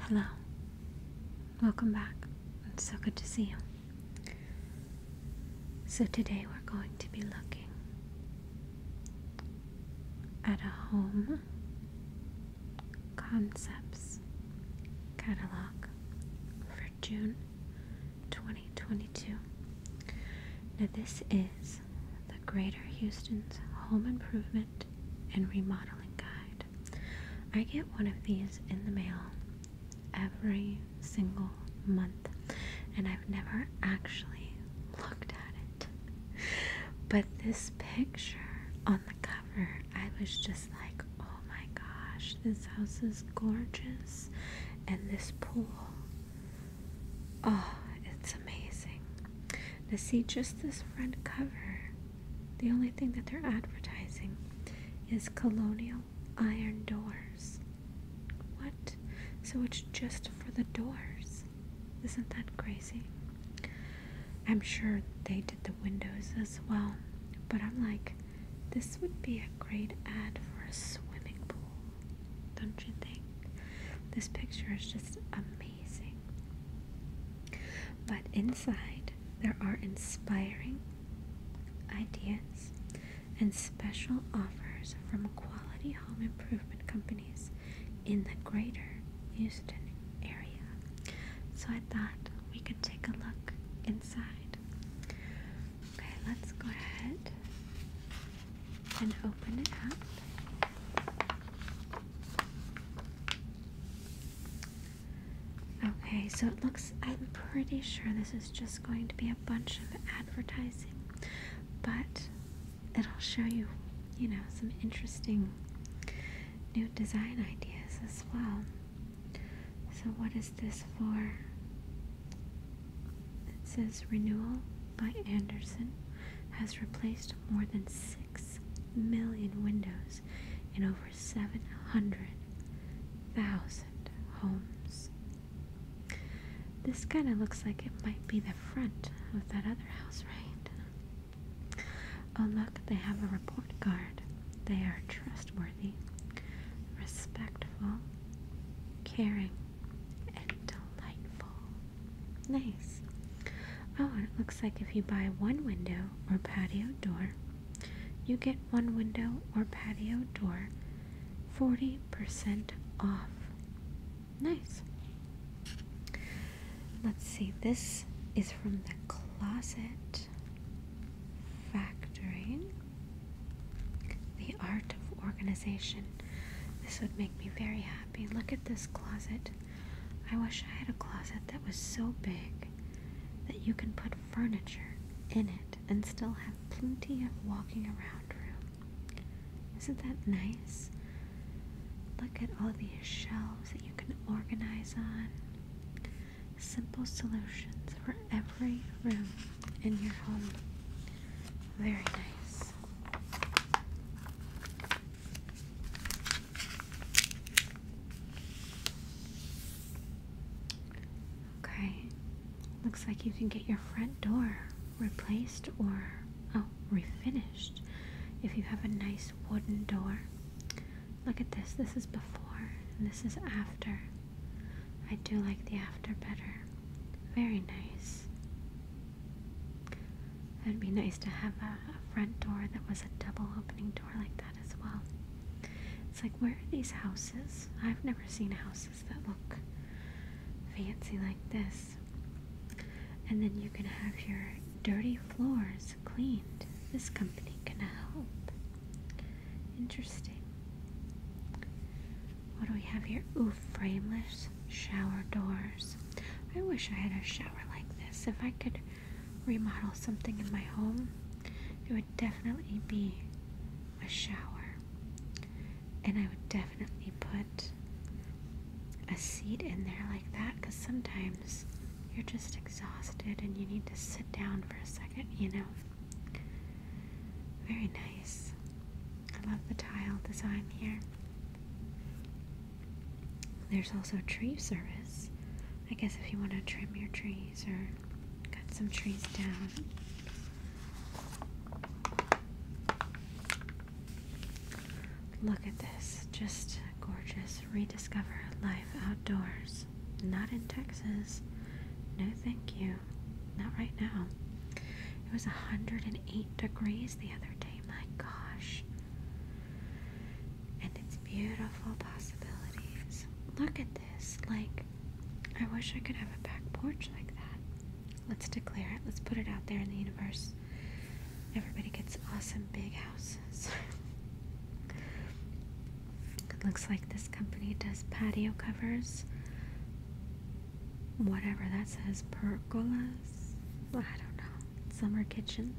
Hello. Welcome back. It's so good to see you. So, today we're going to be looking at a home concepts catalog for June 2022. Now, this is the Greater Houston's Home Improvement and Remodeling Guide. I get one of these in the mail every single month, and I've never actually looked at it. But this picture on the cover, I was just like, oh my gosh, this house is gorgeous, and this pool Oh, it's amazing. Now, see, just this front cover, the only thing that they're advertising is colonial iron doors. What? So it's just for the doors. Isn't that crazy? I'm sure they did the windows as well, but I'm like, this would be a great ad for a swimming pool. Don't you think? This picture is just amazing. But inside, there are inspiring ideas and special offers from quality home improvement companies in the greater Houston area. So I thought we could take a look inside. Okay, let's go ahead and open it up. Okay, so it looks, I'm pretty sure this is just going to be a bunch of advertising, but it'll show you, you know, some interesting new design ideas as well. So, what is this for? that says Renewal by Anderson has replaced more than 6 million windows in over 700,000 homes. This kind of looks like it might be the front of that other house, right? Oh, look, they have a report card. They are trustworthy, respectful, caring, and delightful. Nice. Oh, it looks like if you buy one window or patio door, you get one window or patio door 40% off. Nice. Let's see, this is from the Closet Factory The Art of Organization this would make me very happy. Look at this closet. I wish I had a closet that was so big that you can put furniture in it and still have plenty of walking around room. Isn't that nice? Look at all these shelves that you can organize on. Simple solutions for every room in your home. Very nice. Okay, looks like you can get your front door replaced or oh, refinished if you have a nice wooden door. Look at this, this is before and this is after. I do like the after better. Very nice. It'd be nice to have a, front door that was a double opening door like that as well. It's like, where are these houses? I've never seen houses that look fancy like this. And then you can have your dirty floors cleaned. This company can help. Interesting. What do we have here? Ooh, frameless shower doors. I wish I had a shower like this. If I could remodel something in my home, it would definitely be a shower. And I would definitely put a seat in there like that because sometimes you're just exhausted and you need to sit down for a second, you know. Very nice. I love the tile design here. There's also tree service. I guess if you want to trim your trees or cut some trees down. Look at this. Just gorgeous. Rediscover life outdoors. Not in Texas. No, thank you. Not right now. It was 108 degrees the other day. My gosh. And it's beautiful possibilities. Look at this. Like, I wish I could have a back porch like that. Let's declare it. Let's put it out there in the universe. Everybody gets awesome big houses. it looks like this company does patio covers whatever that says, pergolas. I don't know. Summer kitchens,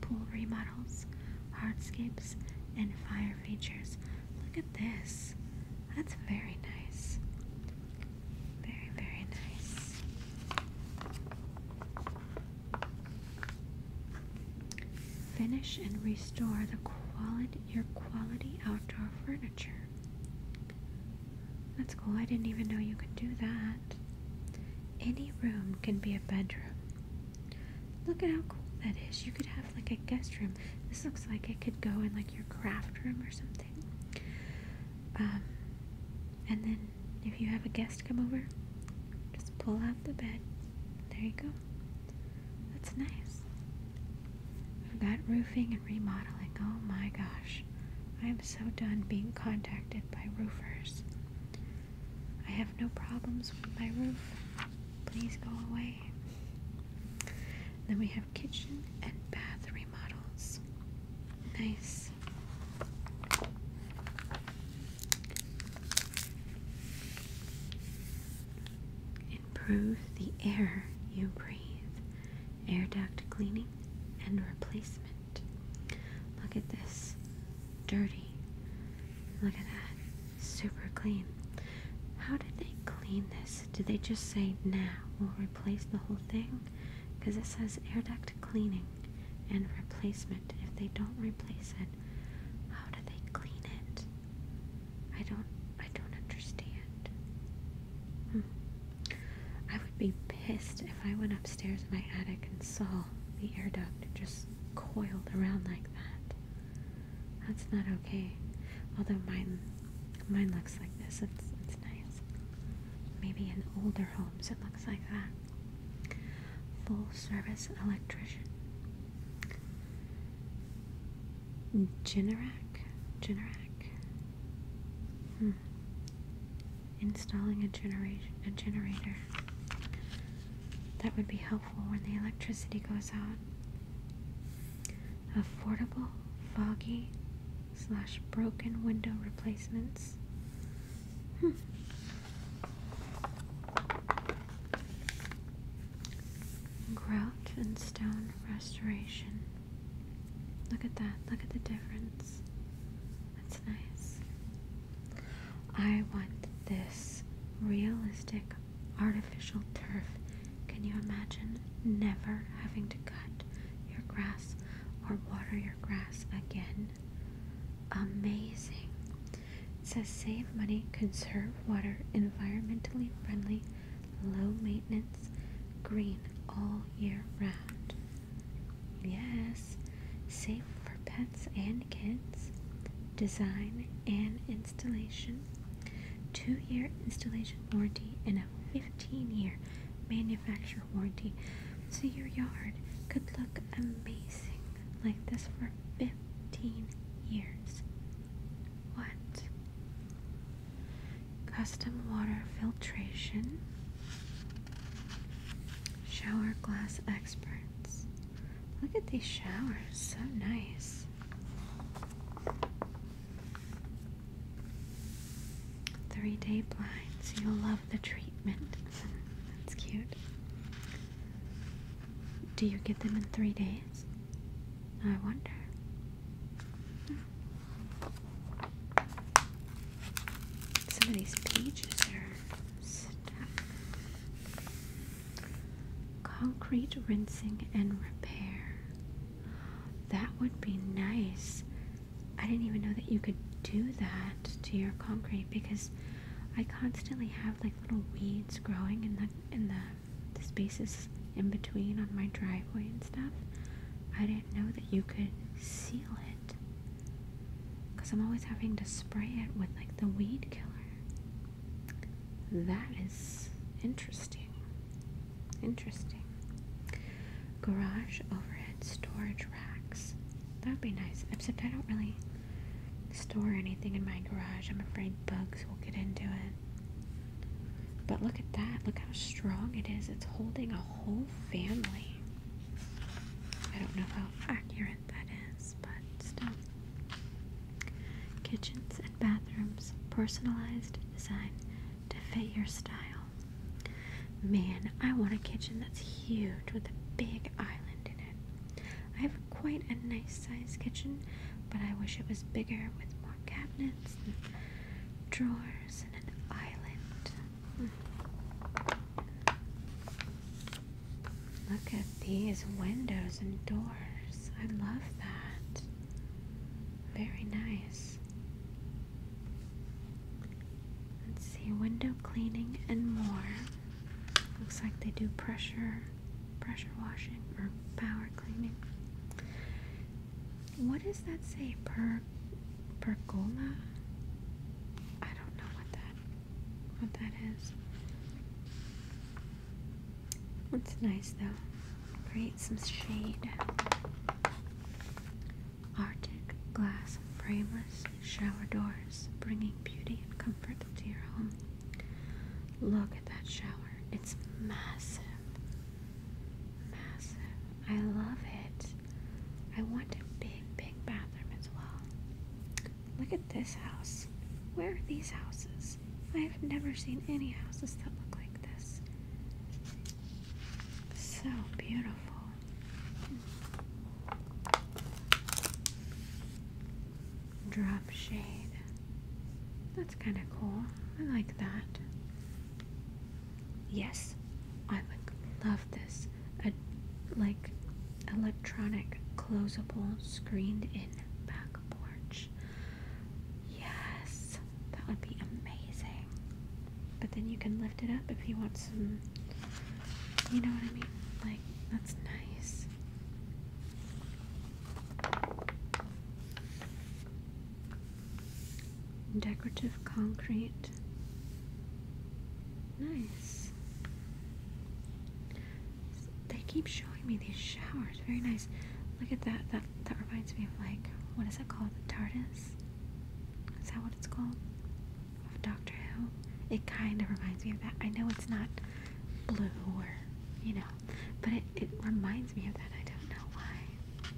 pool remodels, hardscapes, and fire features. Look at this. That's very nice. Very, very nice. Finish and restore the quality your quality outdoor furniture. That's cool. I didn't even know you could do that. Any room can be a bedroom. Look at how cool that is. You could have like a guest room. This looks like it could go in like your craft room or something. Um, and then if you have a guest come over, just pull out the bed. There you go. That's nice. I've got roofing and remodeling. Oh my gosh. I am so done being contacted by roofers. I have no problems with my roof. Please go away. Then we have kitchen and bath remodels. Nice. Improve the air you breathe. Air duct cleaning and replacement. Look at this. Dirty. Look at that. Super clean. How did they clean this? Did they just say, now we'll replace the whole thing? Because it says air duct cleaning and replacement. If they don't replace it, how do they clean it? I don't I don't understand. Hmm. I would be pissed if I went upstairs in my attic and saw the air duct just coiled around like that. That's not okay. Although mine, mine looks like this. It's it's nice. Maybe in older homes it looks like that. Full service electrician. Generac, Generac, Hmm. Installing a, genera a generator. That would be helpful when the electricity goes out. Affordable, foggy, slash broken window replacements. Hmm. Grout and stone restoration. Look at that. Look at the difference. That's nice. I want this realistic artificial turf. Can you imagine never having to cut your grass or water your grass again? Amazing. It says save money, conserve water, environmentally friendly, low maintenance, green all year round. Yes, safe for pets and kids. Design and installation. Two year installation warranty and a 15 year manufacturer warranty. So your yard could look amazing like this for 15 years. What? custom water filtration, shower glass experts. Look at these showers, so nice. Three day blinds, you'll love the treatment. That's cute. Do you get them in three days? I wonder. Hmm. Some of these pages are stuck. Concrete rinsing and repair. That would be nice. I didn't even know that you could do that to your concrete because I constantly have like little weeds growing in the in the, spaces in between on my driveway and stuff. I didn't did know that you could seal it. Because I'm always having to spray it with like the weed killer. That is interesting. Interesting. Garage overhead storage racks. That would be nice. Except I don't really store anything in my garage. I'm afraid bugs will get into it. But look at that. Look how strong it is. It's holding a whole family. I don't know how accurate that is, but still. Kitchens and bathrooms, personalized design to fit your style. Man, I want a kitchen that's huge with a big island in it. I have quite a nice sized kitchen, but I wish it was bigger with more cabinets and drawers and an island. Look at these windows and doors. I love that. Very nice. Let's see, window cleaning and more. Looks like they do pressure, pressure washing or power cleaning. What does that say? Per pergola? I don't know what that what that is. It's nice though. Create some shade. Arctic glass frameless shower doors, bringing beauty and comfort to your home. Look at that shower. It's massive. Massive. I love it. I want a big, big bathroom as well. Look at this house. Where are these houses? I've never seen any houses that look like this. So beautiful. Drop shade. That's kind of cool. I like that. Yes, I would love this. A, like electronic, closable, screened in back porch. Yes, that would be amazing. But then you can lift it up if you want some, you know what I mean? Like, that's nice decorative concrete. Nice. They keep showing me these showers. Very nice. Look at that. That that reminds me of like what is it called? The TARDIS. Is that what it's called? Of Doctor Who. It kind of reminds me of that. I know it's not blue or you know, but it it reminds me of that. I don't know why.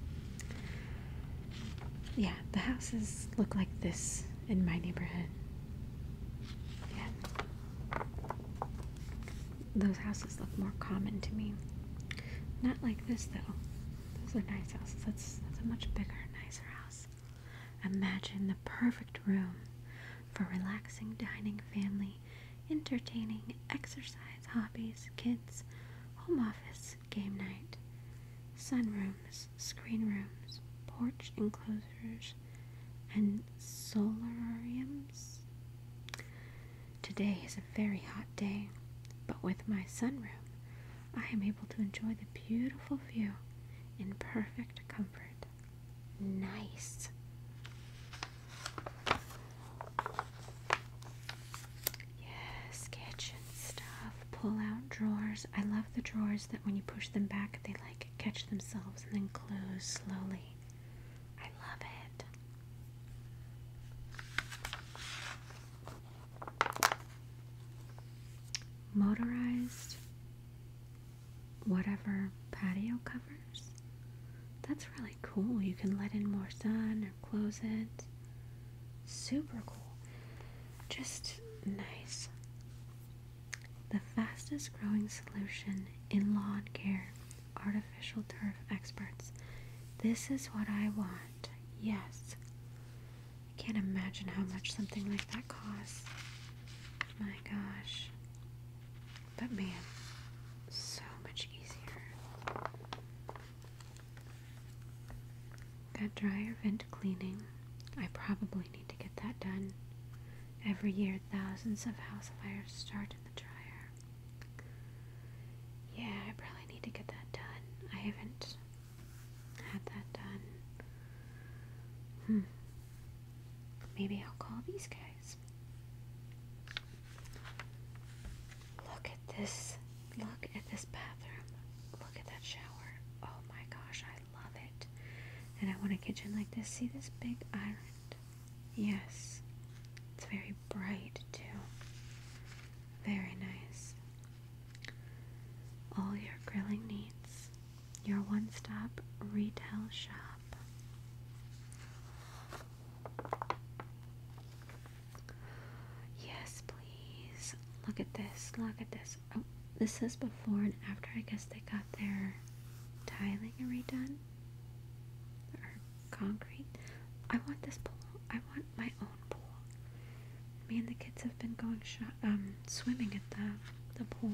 Yeah, the houses look like this in my neighborhood. Yeah. Those houses look more common to me. Not like this though. Those are nice houses. That's that's a much bigger, nicer house. Imagine the perfect room for relaxing, dining, family, entertaining, exercise, hobbies, kids, home office, game night, sunrooms, screen rooms, porch enclosures, and solariums. Today is a very hot day, but with my sunroom, I am able to enjoy the beautiful view in perfect comfort. Nice. Yes, kitchen stuff, pull out drawers. I love the drawers that when you push them back, they like catch themselves and then close slowly. I love it. Motorized, whatever, patio covers. That's really cool. You can let in more sun or close it. Super cool. Just nice. The fastest growing solution in lawn care, artificial turf experts. This is what I want. Yes. I can't imagine how much something like that costs. My gosh. But man, so much easier. Got dryer vent cleaning. I probably need to get that done. Every year, thousands of housefires start in the dryer. Yeah, I probably need to get that done. I haven't had that done. Hmm. Maybe I'll call these guys. Look at this Look at this bathroom. Look at that shower. Oh my gosh, I love it. And I want a kitchen like this. See this big island? Yes. It's very bright too. Very nice. All your grilling needs. Your one stop retail shop. Yes, please. Look at this. Look at this oh, this says before and after. I guess they got their tiling redone or concrete. I want this pool. I want my own pool. Me and the kids have been going um, swimming at the, the pool.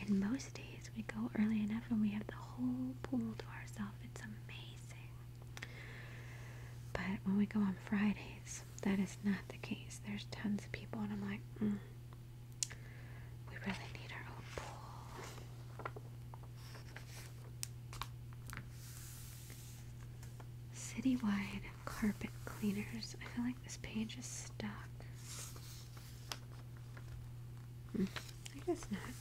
And most days we go early enough and we have the whole pool to ourselves. It's amazing. But when we go on Fridays, that is not the case. There's tons of people, and I'm like, mm, we really need our own pool. Citywide carpet cleaners. I feel like this page is stuck. Hmm, I guess not.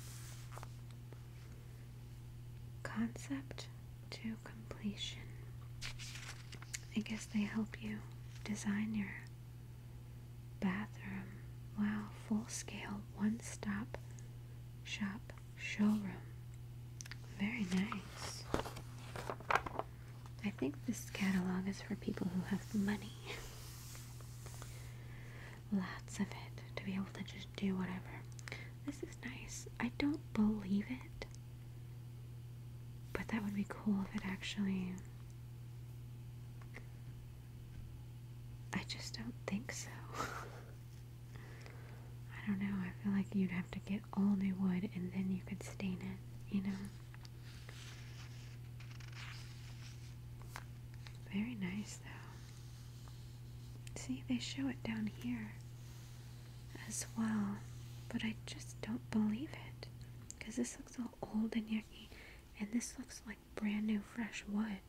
Concept to completion. I guess they help you design your bathroom. Wow, full scale, one stop shop showroom. Very nice. I think this catalog is for people who have money. Lots of it to be able to just do whatever. This is nice. I don't believe it but that would be cool if it actually. I just don't think so. I don't know. I feel like you'd have to get all new wood and then you could stain it, you know? Very nice, though. See, they show it down here as well, but I just don't believe it because this looks all old and yucky, and this looks like brand new fresh wood.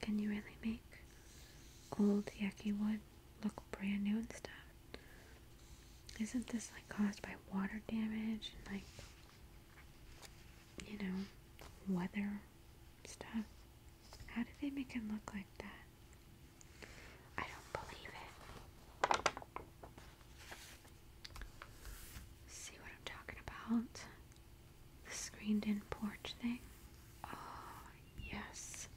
Can you really make old yucky wood look brand new and stuff? Isn't this like caused by water damage and like you know weather stuff? How did they make it look like that? I don't believe it. See what I'm talking about? The screened in porch thing? Oh, yes.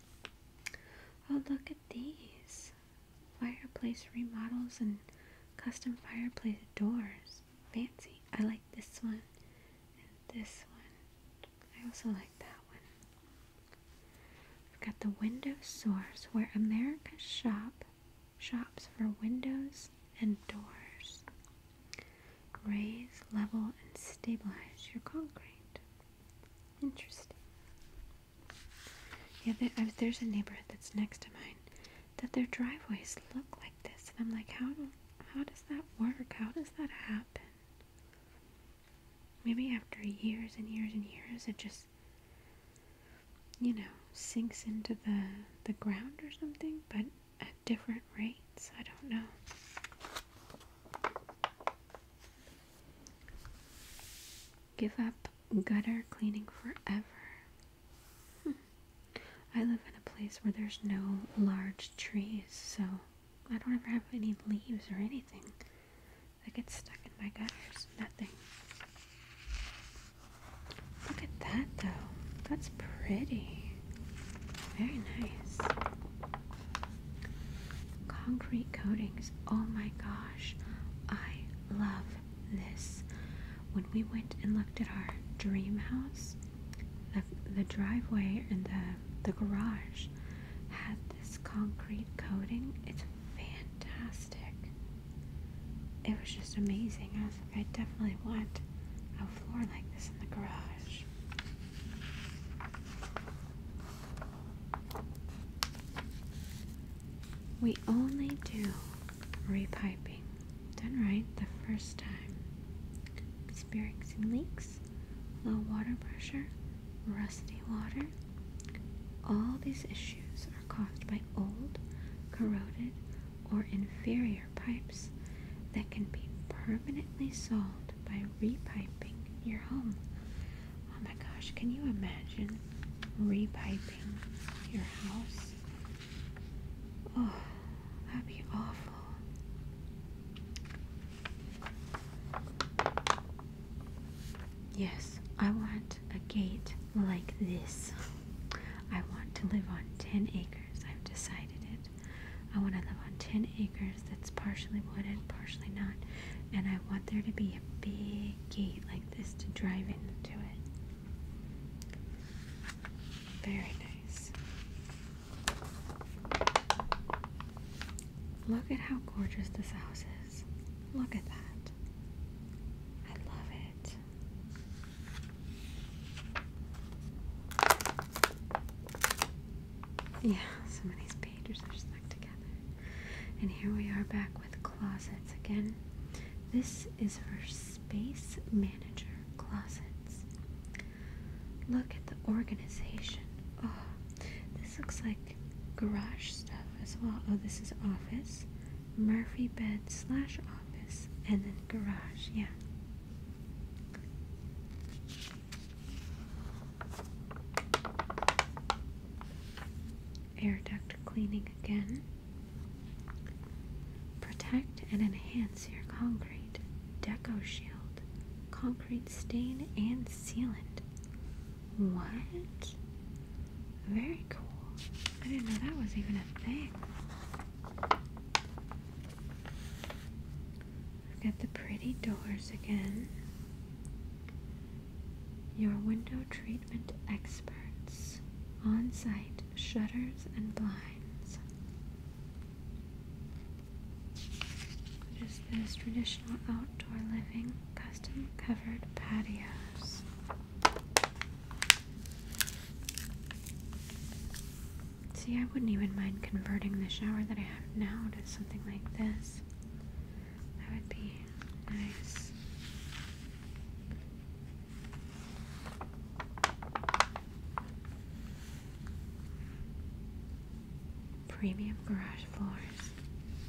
Oh, look at these fireplace remodels and custom fireplace doors. Fancy. I like this one and this one. I also like that one. We've got the window source where America shop shops for windows and doors. Raise, level, and stabilize your concrete. Interesting. Yeah, there's a neighborhood that's next to mine that their driveways look like this, and I'm like, how how does that work? How does that happen? maybe after years and years and years, it just, you know, sinks into the, the ground or something, but at different rates. I don't know. Give up gutter cleaning forever. Hmm. I live in a place where there's no large trees, so I don't ever have any leaves or anything. I get stuck in my gutters. Nothing. Look at that though. That's pretty. Very nice. Concrete coatings. Oh my gosh. I love this. When we went and looked at our dream house, the, the driveway and the, the garage had this concrete coating fantastic. It was just amazing. I was like, I definitely want a floor like this in the garage. We only do repiping done right the first time. Experiencing leaks, low water pressure, rusty water, all these issues are caused by old, corroded, or inferior pipes that can be permanently solved by repiping your home. Oh my gosh, can you imagine repiping your house? Oh, that'd be awful. Yes, I want a gate like this. I want to live on 10 acres. I've decided it. I want to live on 10 acres that's partially wooded, partially not. And I want there to be a big gate like this to drive into it. Very nice. Look at how gorgeous this house is. Look at that. I love it. Yeah, some of these pages are stuck together. And here we are back with closets again. This is for Space Manager Closets. Look at the organization Oh, this looks like garage stuff as well. Oh, this is office. Murphy bed slash office. And then garage, yeah. Air duct cleaning again. Protect and enhance your concrete. Deco shield. Concrete stain and sealant. What? Very cool. I didn't know that was even a thing. I've got the pretty doors again. Your window treatment experts. On site shutters and blinds. Just this traditional outdoor living custom covered patios. See, I wouldn't even mind converting the shower that I have now to something like this. That would be nice. Premium garage floors.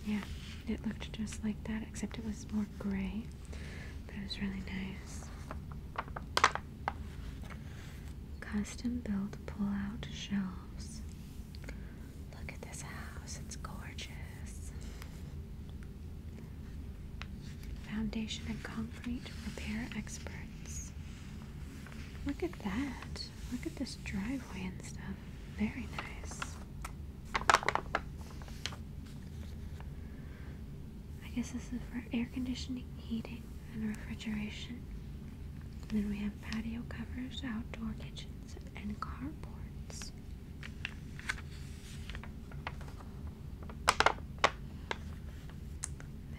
Yeah. It looked just like that, except it was more gray. But it was really nice. Custom built pull out shelves. Look at this house, it's gorgeous. Foundation and concrete repair experts. Look at that. Look at this driveway and stuff. Very nice. I guess this is for air conditioning, heating, and refrigeration. then we have patio covers, outdoor kitchens, and carports.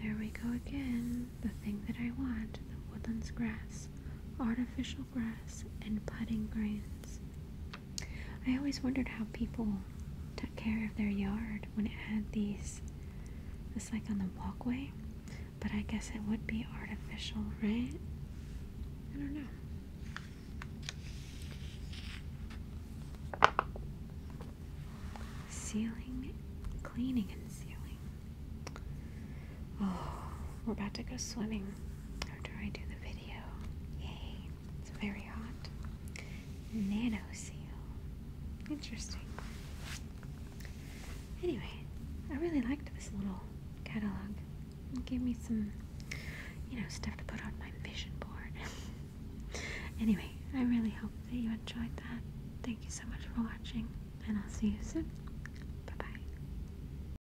There we go again. The thing that I want, the woodlands grass artificial grass, and putting greens. I always wondered how people took care of their yard when it had these, this like on the walkway, but I guess it would be artificial, right? I don't know. Sealing, cleaning, and sealing. Oh, we're about to go swimming after I do the Yay, it's very hot. Nano seal. Interesting. Anyway, I really liked this little catalog. It gave me some, you know, stuff to put on my vision board. anyway, I really hope that you enjoyed that. Thank you so much for watching, and I'll see you soon. Bye bye.